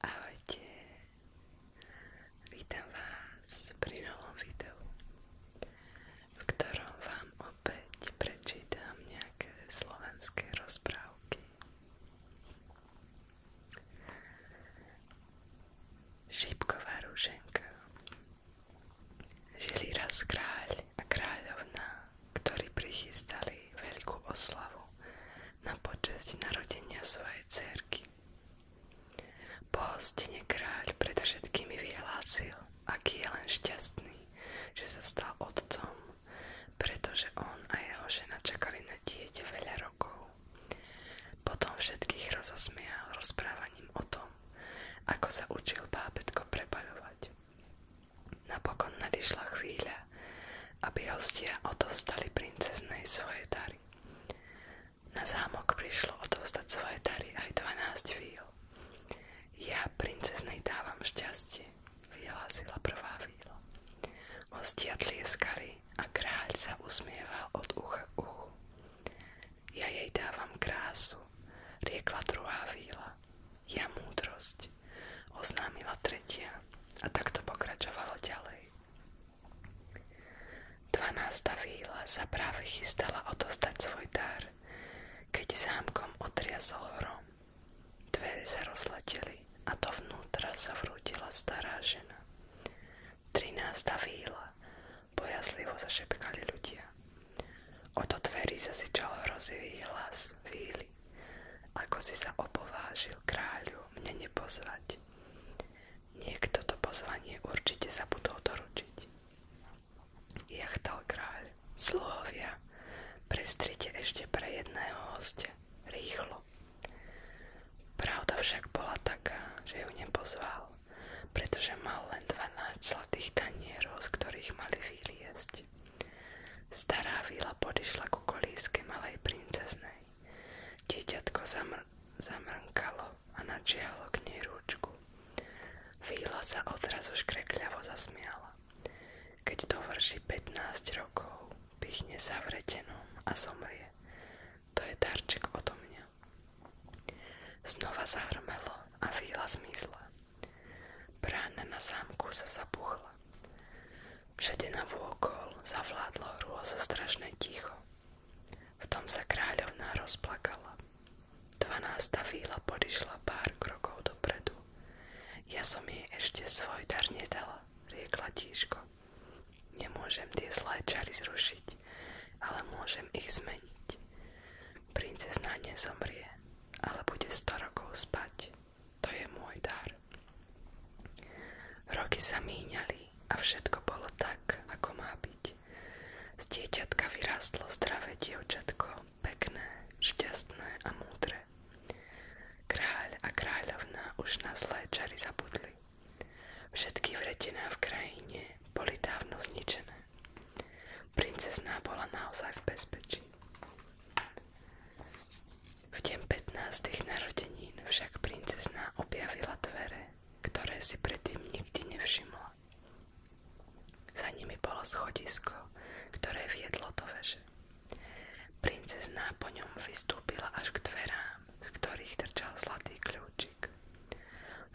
Ahojte, vítam vás pri novom videu, v ktorom vám opäť prečítam nejaké slovenské rozprávky. Šípková rúženka Žili raz kráľ a kráľovna, ktorí prichystali veľkú oslavu na počesť narodenia svojej cerky. Po hostine kráľ pred všetkými vyhlásil, aký je len šťastný, že sa stal otcom, pretože on a jeho žena čakali na dieťa veľa rokov. Potom všetkých rozosmial rozprávaním o tom, ako sa učil bábetko prepaľovať. Napokon nadišla chvíľa, aby hostia odovzdali princeznej svoje dary. Na zámok prišlo odovzdať svoje dary aj 12 víl. Ja princeznej dávam šťastie, vyhlásila prvá víla. Hostia tlieskali a kráľ sa usmieval od ucha k uchu. Ja jej dávam krásu, riekla druhá víla. Ja múdrosť, oznámila tretia a takto pokračovalo ďalej. 12. víla sa práve chystala odostať svoj dar, keď zámkom otriasol hrom. Dvere sa rozleteli a to dovnútra sa vrútila stará žena. 13. víla bojazlivo zašepkali ľudia. Oto sa si čalo hrozivý hlas víly zbili. Ako si sa opovážil kráľu mne nepozvať? Niekto to pozvanie určite zabudol doručiť. Jachtal kráľ. Sluhovia, prestrite ešte pre jedného hostia. Rýchlo. Pravda však bola taká, že ju nepozval, pretože mal len 12 zlatých tanierov, z ktorých mali vyliesť. Stará víla podišla ku kolísky malej princeznej. Dieťatko zamr- zamrnkalo a nadžialo k nej ručku. Víla sa odrazu škrekľavo zasmiala. Keď dovrší 15 rokov, pichne sa v a zomrie. To je darček odo mňa. Znova zahrmelo a víla zmizla. Brána na zámku sa zapuchla. Všade na vôkol zavládlo hrôzostrašné ticho. V tom sa kráľovná rozplakala. Dvanásta víla podišla pár krokov dopredu. Ja som jej ešte svoj dar nedala, riekla tíško. Nemôžem tie zlé čary zrušiť, ale môžem ich zmeniť. Princezna nezomrie, ale bude sto rokov spať to je môj dar. Roky sa míňali a všetko bolo tak, ako má byť. Z dieťatka vyrástlo zdravé dievčatko, pekné, šťastné a múdre. Kráľ a kráľovna už na zlé čary zabudli. Všetky vretená v krajine boli dávno zničené. Princezná bola naozaj v bezpečí. V 15. narodenín však princezná objavila dvere, ktoré si predtým nikdy nevšimla. Za nimi bolo schodisko, ktoré viedlo do veže. Princezná po ňom vystúpila až k dverám, z ktorých trčal zlatý kľúčik.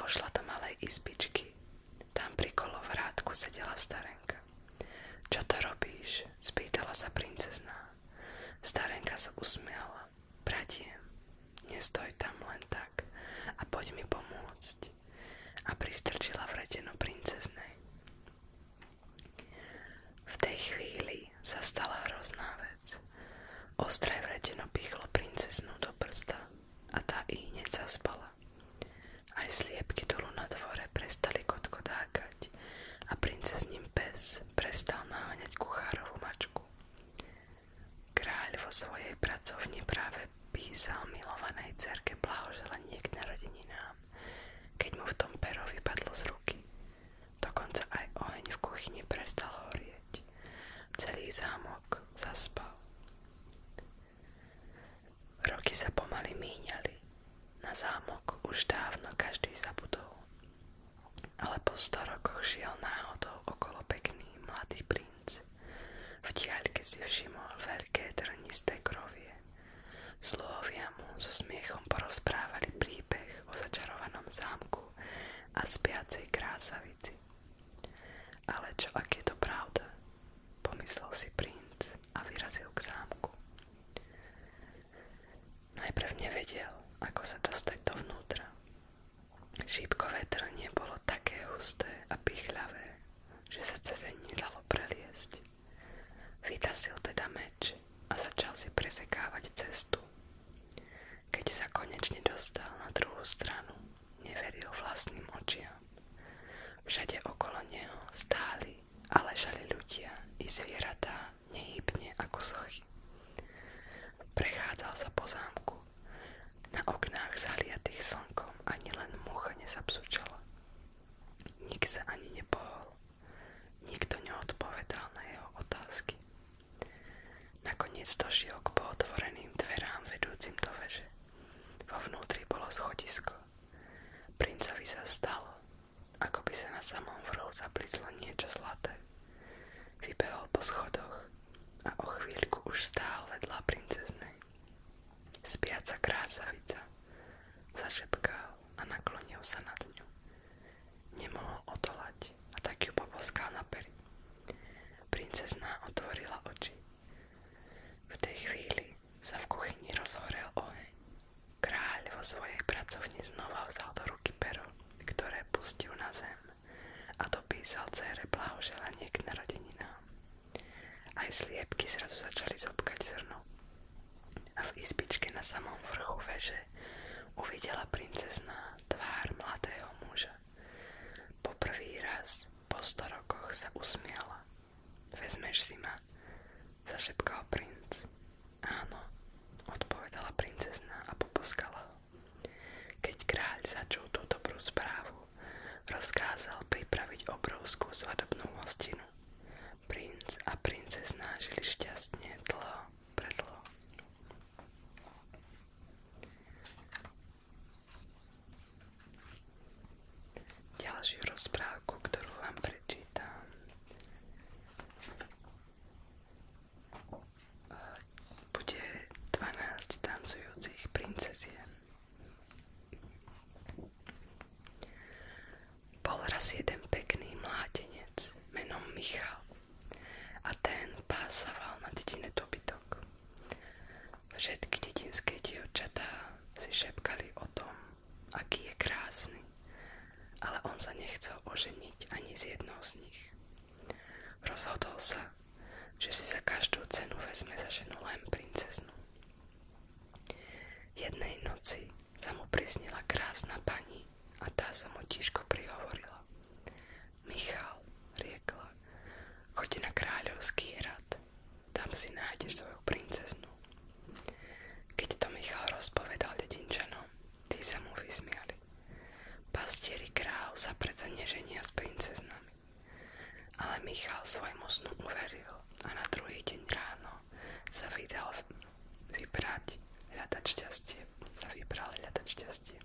Vošla do malej izbičky. Tam pri kolovrátku sedela starenka. Čo to robíš? spýtala sa princezná. Starenka sa usmiala. Bratie, nestoj tam len tak a poď mi pomôcť. A pristrčila vreteno princeznej. V tej chvíli sa stala hrozná vec. Ostré vreteno pichlo princeznú do prsta a tá i hneď zaspala. Aj sliepky dolu na dvore prestali kotkodákať spať a princezním pes prestal naháňať kuchárovú mačku. Kráľ vo svojej pracovni práve písal milovanej cerke blahoželanie k narodeninám, keď mu v tom pero vypadlo z ruky. Dokonca aj oheň v kuchyni prestal horieť. Celý zámok zaspal. Roky sa pomaly míňali. Na zámok už dávno každý zabudol, ale po sto rokoch šiel náhodou okolo pekný mladý princ. V diaľke si všimol veľké trnisté krovie. Sluhovia mu so smiechom porozprávali príbeh o začarovanom zámku a spiacej krásavici. Ale čo ak je to pravda? Pomyslel si princ a vyrazil k zámku. Najprv nevedel, ako sa dostať dovnútra. Šípkové trnie bolo také husté a pichľavé, že sa cez dalo preliesť. Vytasil teda meč a začal si presekávať cestu. Keď sa konečne dostal na druhú stranu, neveril vlastným očiam. Všade okolo neho stáli a ležali ľudia i zvieratá nehybne ako sochy. Prechádzal sa po zámku. Na oknách zahliatých slnkom ani len mucha nezapsúčala. Nik sa ani nepohol. Nikto neodpovedal na jeho otázky. Nakoniec došiel k pootvoreným dverám vedúcim do veže. Vo vnútri bolo schodisko. Princovi sa stalo, ako by sa na samom vrhu zablizlo niečo zlaté. Vybehol po schodoch a o chvíľku už stál vedľa princeznej. Spiaca krásavica. Zašepkal a naklonil sa nad ňu. Nemohol odolať a tak ju poboskal na peri. Princezná otvorila oči. V tej chvíli sa v kuchyni rozhorel oheň Kráľ vo svojej pracovni znova vzal do ruky pero, ktoré pustil na zem a dopísal cére blahoželanie k narodeninám. Aj sliepky zrazu začali zobkať zrno a v izbičke na samom vrchu veže uvidela princezná tvár mladého muža. Po prvý raz po sto rokoch sa usmiala. Vezmeš si ma, zašepkal princ. Áno, odpovedala princezna a poposkala ho. Keď kráľ začul tú dobrú správu, rozkázal pripraviť obrovskú svadobnú hostinu. Princ a princezná žili šťastne dlho predlho. Ďalšiu rozprávku, ktorú vám prečítam, bude 12 tancujúcich princezien. Bol raz jeden pekný mládenec menom Michal a ten pásaval na dedine dobytok. Všetky dedinské dievčatá si šepkali o tom, aký je krásny, ale on sa nechcel oženiť ani z jednou z nich. Rozhodol sa, že si za každú cenu vezme za ženu len princeznu. Jednej noci sa mu prisnila krásna pani a tá sa mu tiško prihovorila. Michal, riekla, chodí na kráľovský hrad, tam si nájdeš svoju princeznu keď to Michal rozpovedal dedinčanom, tí sa mu vysmiali. Pastieri kráv sa predsa neženia s princeznami. Ale Michal svojmu snu uveril a na druhý deň ráno sa vydal vybrať hľadať šťastie. Sa vybral hľadať šťastie.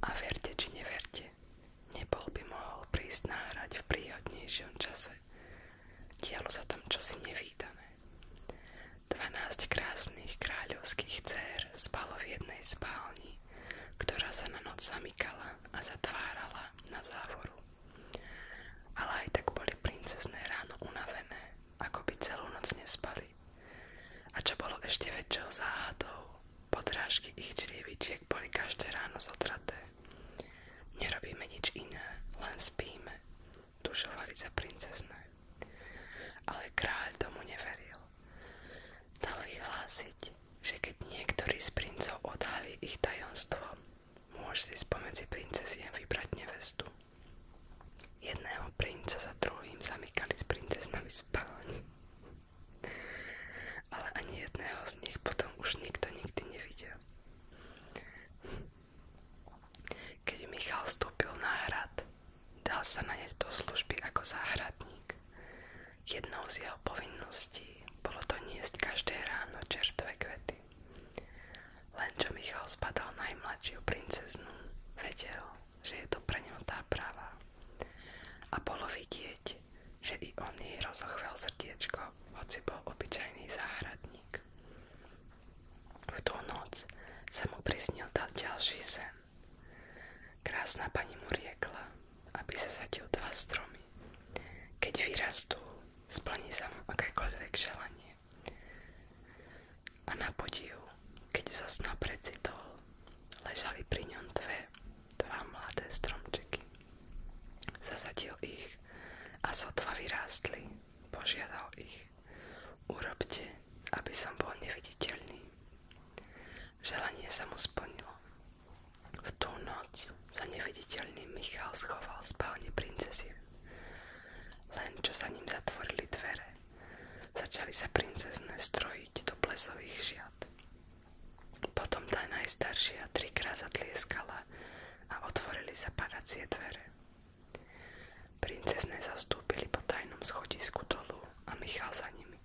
A verte či neverte, nebol by mohol prísť náhrať v príhodnejšom čase, Dialo sa tam čosi nevýdané. 12 krásnych kráľovských dcer spalo v jednej spálni, ktorá sa na noc zamykala a zatvárala na závoru. Ale aj tak boli princezné ráno unavené, ako by celú noc nespali. A čo bolo ešte väčšou záhadou, podrážky ich črievičiek boli každé ráno zotraté. Nerobíme nič iné, len spíme známe. Tušovali sa princezné. Ale kráľ tomu neveril. Dal vyhlásiť, že keď niektorý z princov odhalí ich tajomstvo, môže si spomedzi a vybrať nevestu. Jedného princa za druhým zamykali s princeznami spálni. Ale ani jedného z nich potom už nikto nikdy nevidel. Keď Michal vstúpil na hrad, dal sa naneť do služby ako záhradník. Jednou z jeho povinností bolo to doniesť každé ráno čerstvé kvety. Len čo Michal spadal najmladšiu princeznu, vedel, že je to pre ňo tá práva. A bolo vidieť, že i on jej rozochvel srdiečko, hoci bol obyčajný záhradník. V tú noc sa mu prisnil ďalší sen. Krásna pani mu riekla, aby sa zatil dva stromy. Keď vyrastú, splní sa mu akékoľvek želanie. A na podiv, keď zo sna precitol, ležali pri ňom dve, dva mladé stromčeky. Zasadil ich a sotva vyrástli. Požiadal ich, urobte, aby som bol neviditeľný. Želanie sa mu splnilo. V tú noc sa neviditeľný Michal schoval v spálne princezie. Len čo sa ním zatvorili dvere, začali sa princezné strojiť do plesových žiat. Potom tá najstaršia trikrát zatlieskala a otvorili sa padacie dvere. Princezné zastúpili po tajnom schodisku dolu a Michal za nimi.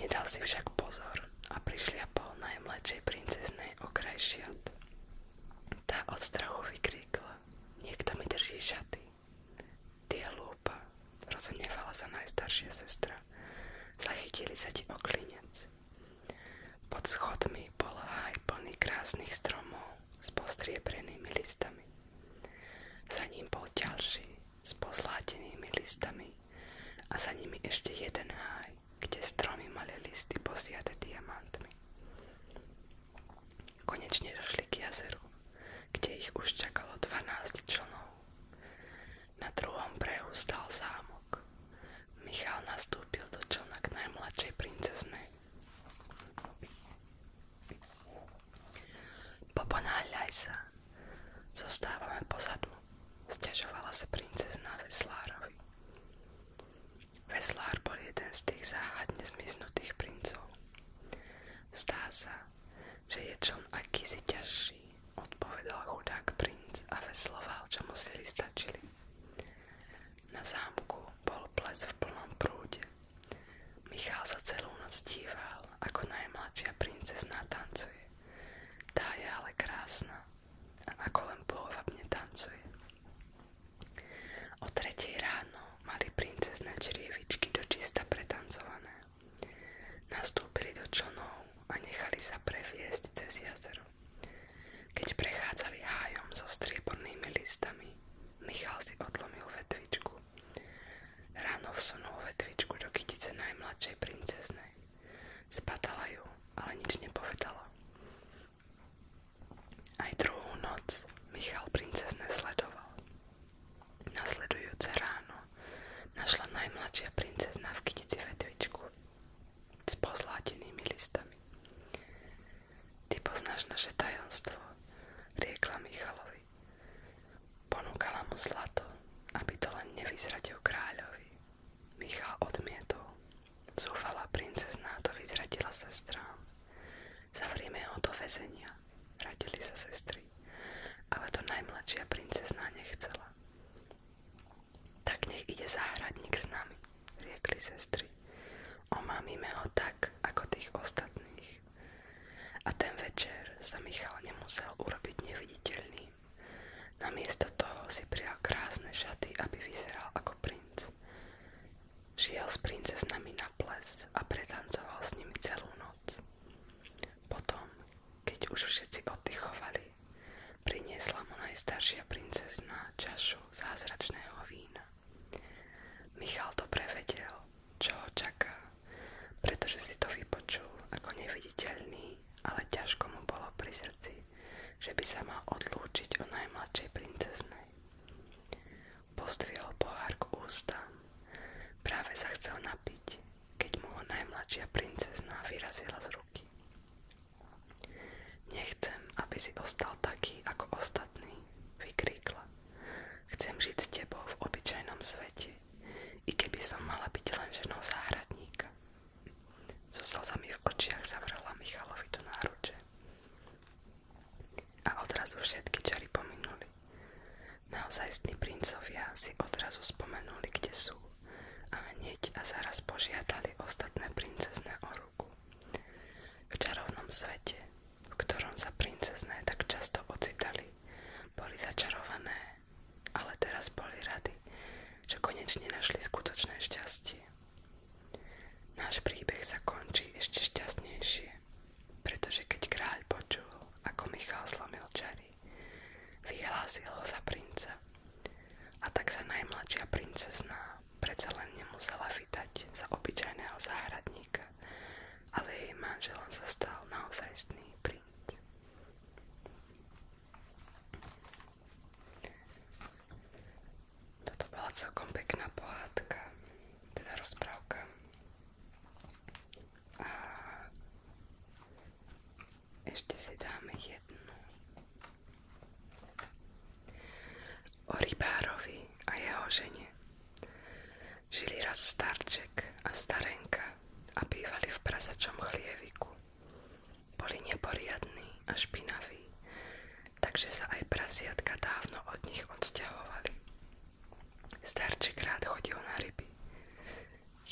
Nedal si však pozor a prišliapol najmladšej princeznej okraj šiat. Tá od strachu vykríkla. Niekto mi drží šaty. Tie lúpa, sa najstaršia sestra. Zachytili sa ti oklinec. Pod schodmi bol háj plný krásnych stromov s postriebrenými listami. Za ním bol ďalší s pozlátenými listami a za nimi ešte jeden háj, kde stromy mali listy posiate diamantmi. Konečne došli k jazeru, kde ich už čakalo 12 členov. Na druhom brehu stal zámok. Michal nastúpil do člna k najmladšej princeznej. Poponáľaj sa. Zostávame pozadu. Sťažovala sa princezná Veslárovi. Veslár bol jeden z tých záhadne zmiznutých princov. Zdá sa, že je člen akýsi ťažší, odpovedal chudák princ a vesloval, čo mu sily stačili. Na zámku bol ples v plnom prúde. Michal sa celú noc díval, ako najmladšia princezná tancuje. Tá je ale krásna ako len pôvabne tancuje. O tretej ráno mali princezné črievičky dočista pretancované. Nastúpili do člnov a nechali sa previesť cez jazero. Keď prechádzali hájom so striebornými listami, si odlomil vetvičku. Ráno vsunul vetvičku do kytice najmladšej princeznej. Spadala ju, ale nič nepovedala. Aj druhú noc Michal princezne sledoval. Nasledujúce ráno našla najmladšia princezna v kytici vetvičku s pozlátenými listami. Ty poznáš naše tajomstvo, riekla Michalovi. Ponúkala mu zlato, aby to len nevyzradil kráľovi. Michal odmietol. Zúfala princezná to vyzradila sestrám. Zavrieme ho do väzenia, radili sa sestry. Ale to najmladšia princezná nechcela. Tak nech ide záhradník s nami, riekli sestry. Omámime ho tak, ako tých ostatných. A ten večer sa Michal nemusel urobiť neviditeľný. Namiesto toho si prijal krásne šaty, aby vyzeral ako princ. Šiel s princeznami na ples a pretancoval s nimi celú noc. Potom, keď už všetci oddychovali, Priniesla mu najstaršia princezna čašu zázračného vína. Michal to prevedel, čo ho čaká, pretože si to vypočul ako neviditeľný, ale ťažko mu bolo pri srdci, že by sa mal odlúčiť o najmladšej princeznej. Pozdvihol pohár k ústam. Práve sa chcel napiť, keď mu ho najmladšia princezná vyrazila z ruky. Nechcem, aby si ostal taký ako ostatný, vykríkla. Chcem žiť s tebou v obyčajnom svete, i keby som mala byť len ženou záhradníka. So slzami v očiach zavrala Michalovi do náruče. A odrazu všetky čary pominuli. Naozajstní princovia si odrazu spomenuli, kde sú a hneď a zaraz požiadali ostatné princezné o ruku. V čarovnom svete, v ktorom sa princezné tak často ocitali, boli začarované, ale teraz boli rady, že konečne našli skutočné šťastie. Náš príbeh sa končí ešte šťastnejšie, pretože keď kráľ počul, ako Michal slomil čary, za princa. A tak sa najmladšia princezná predsa len nemusela vydať za obyčajného záhradníka, ale jej manželom sa stal naozajstný Toto bola celkom pekná pohádka, teda A ešte si dáme jednu O rybárovi a jeho žene žili raz starček a starenka a bývali v prasačom chlieviku. Boli neporiadní a špinaví, takže sa aj prasiatka dávno od nich odsťahovali. Starček rád chodil na ryby.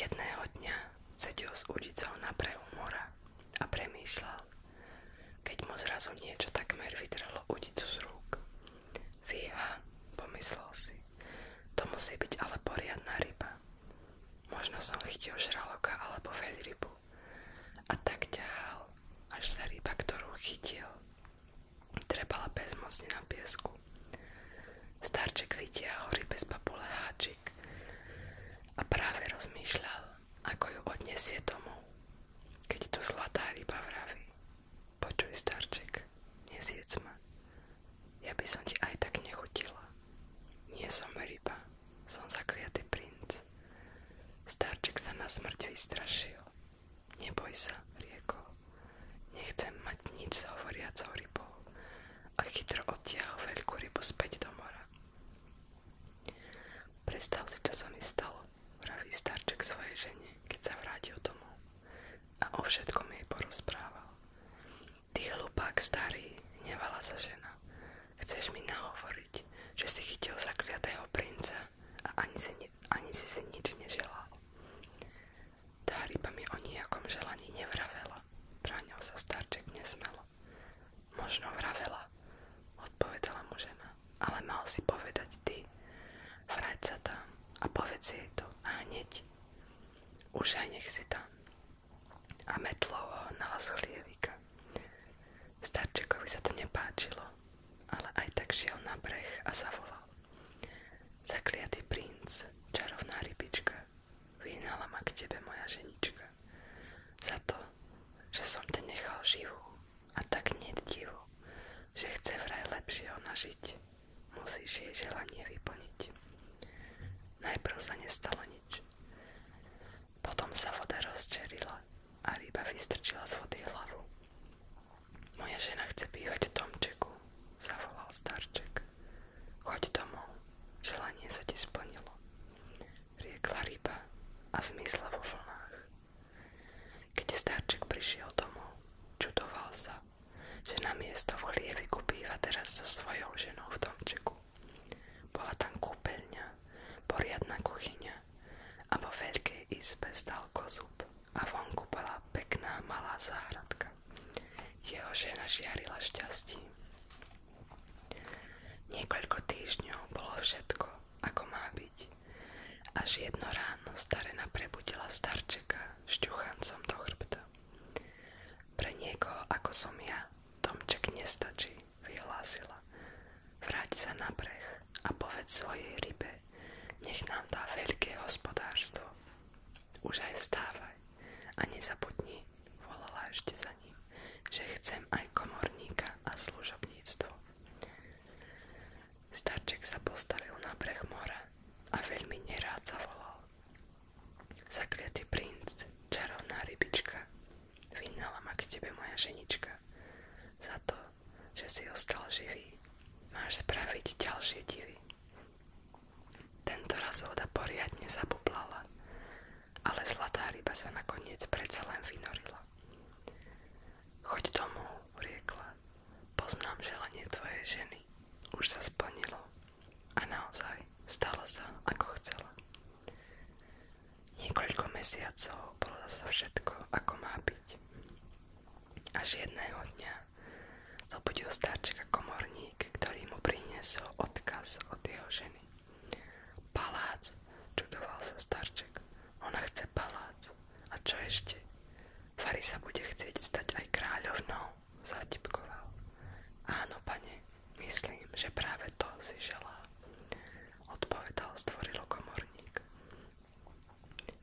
Jedného dňa sedil s udicou na brehu mora a premýšľal, keď mu zrazu niečo takmer vytrhlo udicu z rúk. Fíha, pomyslel si, to musí byť ale poriadna ryba. Možno som chytil žraloka alebo veľrybu. A tak ťahal, až sa ryba, ktorú chytil, trebala bezmocne na piesku. Starček vytiahol rybe z papule háčik a práve rozmýšľal, ako ju odniesie tomu, Keď tu zlatá ryba vraví. Počuj, starček, nezjedz ma. Ja by som ti aj tak nechutila. Nie som ryba, som zakliatý princ. Starček sa na smrť vystrašil. Neboj sa, riekol. Nechcem mať nič s hovoriacou rybou. A chytro odtiahol veľkú rybu späť do mora. Predstav si, čo sa mi stalo, vraví starček svojej žene, keď sa vrátil domov. A o všetkom jej porozprával. Ty hlupák starý, hnevala sa žena. Chceš mi nahovoriť, že si chytil zakliatého princa a ani si, si nič neželal. Tá ryba mi o nejakom želaní nevravela, bránil sa starček nesmelo. Možno vravela, odpovedala mu žena, ale mal si povedať ty. Vráť sa tam a povedz jej to a hneď. Už si tam. A metlo ho hnala z chlievika. Starčekovi sa to nepáčilo, ale aj tak šiel na breh a zavolal. Zakliatý princ, čarovná rybička, vyhnala ma k tebe moja ženička za to, že som te nechal živú a tak nie divu, že chce vraj lepšie ona žiť, musíš jej želanie vyplniť. Najprv sa nestalo nič. Potom sa voda rozčerila a ryba vystrčila z vody hlavu. Moja žena chce bývať v Tomčeku, zavolal starček. Choď domov, želanie sa ti splnilo riekla ryba a zmizla vo vlnách. Keď starček prišiel domov, čudoval sa, že na miesto v chlieviku býva teraz so svojou ženou v domčeku. Bola tam kúpeľňa, poriadna kuchyňa a vo veľkej izbe stal kozub a vonku bola pekná malá záhradka. Jeho žena žiarila šťastím. Niekoľko týždňov bolo všetko, ako má byť. Až jedno ráno starena prebudila starčeka šťuchancom do chrbta. Pre niekoho, ako som ja, Tomček nestačí, vyhlásila. Vráť sa na breh a povedz svojej rybe, nech nám dá veľké hospodárstvo. Už aj vstávaj a nezabudni, volala ešte z prikázaním, že chcem aj komorníka a služobníctvo. Starček sa postavil na breh mora a veľmi nerád zavolal. Zakliatý princ, čarovná rybička, vynala ma k tebe moja ženička. Za to, že si ostal živý, máš spraviť ďalšie divy. Tento raz voda poriadne zabublala ale zlatá ryba sa nakoniec predsa len vynorila. Choď domov, riekla. Poznám želanie tvojej ženy. Už sa splnilo. A naozaj stalo sa, ako chcela. Niekoľko mesiacov bolo zase všetko, ako má byť. Až jedného dňa zobudil starčka komorník, ktorý mu priniesol odkaz od jeho ženy. Palác, čudoval sa starček. Ona chce palác. A čo ešte? Fari sa bude chcieť stať aj kráľovnou, zatipkoval. Áno, pane, myslím, že práve to si želá, odpovedal zdvorilo komorník.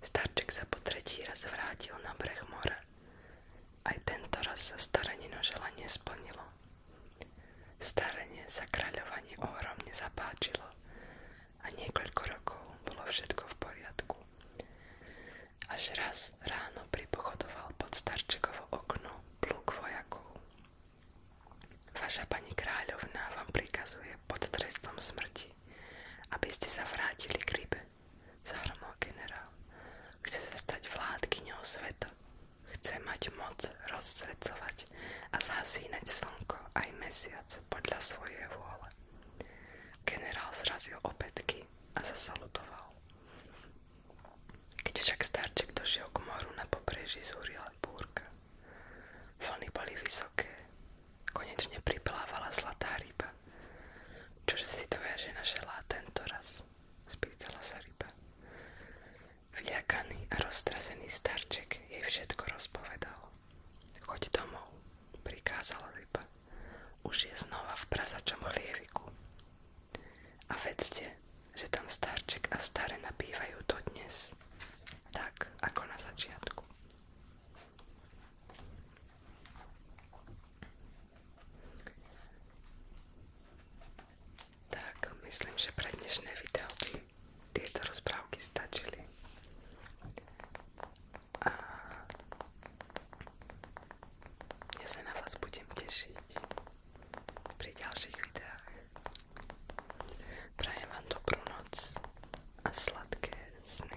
Starček sa po tretí raz vrátil na breh mora. Aj tento raz sa staranino želanie splnilo. Starenie sa kráľovanie ohromne zapáčilo a niekoľko rokov bolo všetko v poriadku. Až raz ráno pripochodoval pod starčekovo okno pluk vojakov. Vaša pani kráľovná vám prikazuje pod trestom smrti, aby ste sa vrátili k rybe, zahromol generál. Chce sa stať vládkyňou sveta. Chce mať moc rozsvecovať a zhasínať slnko aj mesiac podľa svojej vôle. Generál zrazil opätky a zasalutoval. Keď však starček došiel k moru na pobreží, zúrila búrka. Vlny boli vysoké. Konečne priplávala zlatá ryba. Čože si tvoja žena želá tento raz? Spýtala sa ryba. Vľakaný a roztrazený starček jej všetko rozpovedal. Choď domov, prikázala ryba. Už je znova v prasačom chlieviku. A vedzte, že tam starček a staré nabývajú dodnes. Tak, ako na začiatku. Tak, myslím, že pre dnešné video by tieto rozprávky stačili. A ja sa na vás budem tešiť pri ďalších videách. Prajem vám dobrú noc a sladké sny.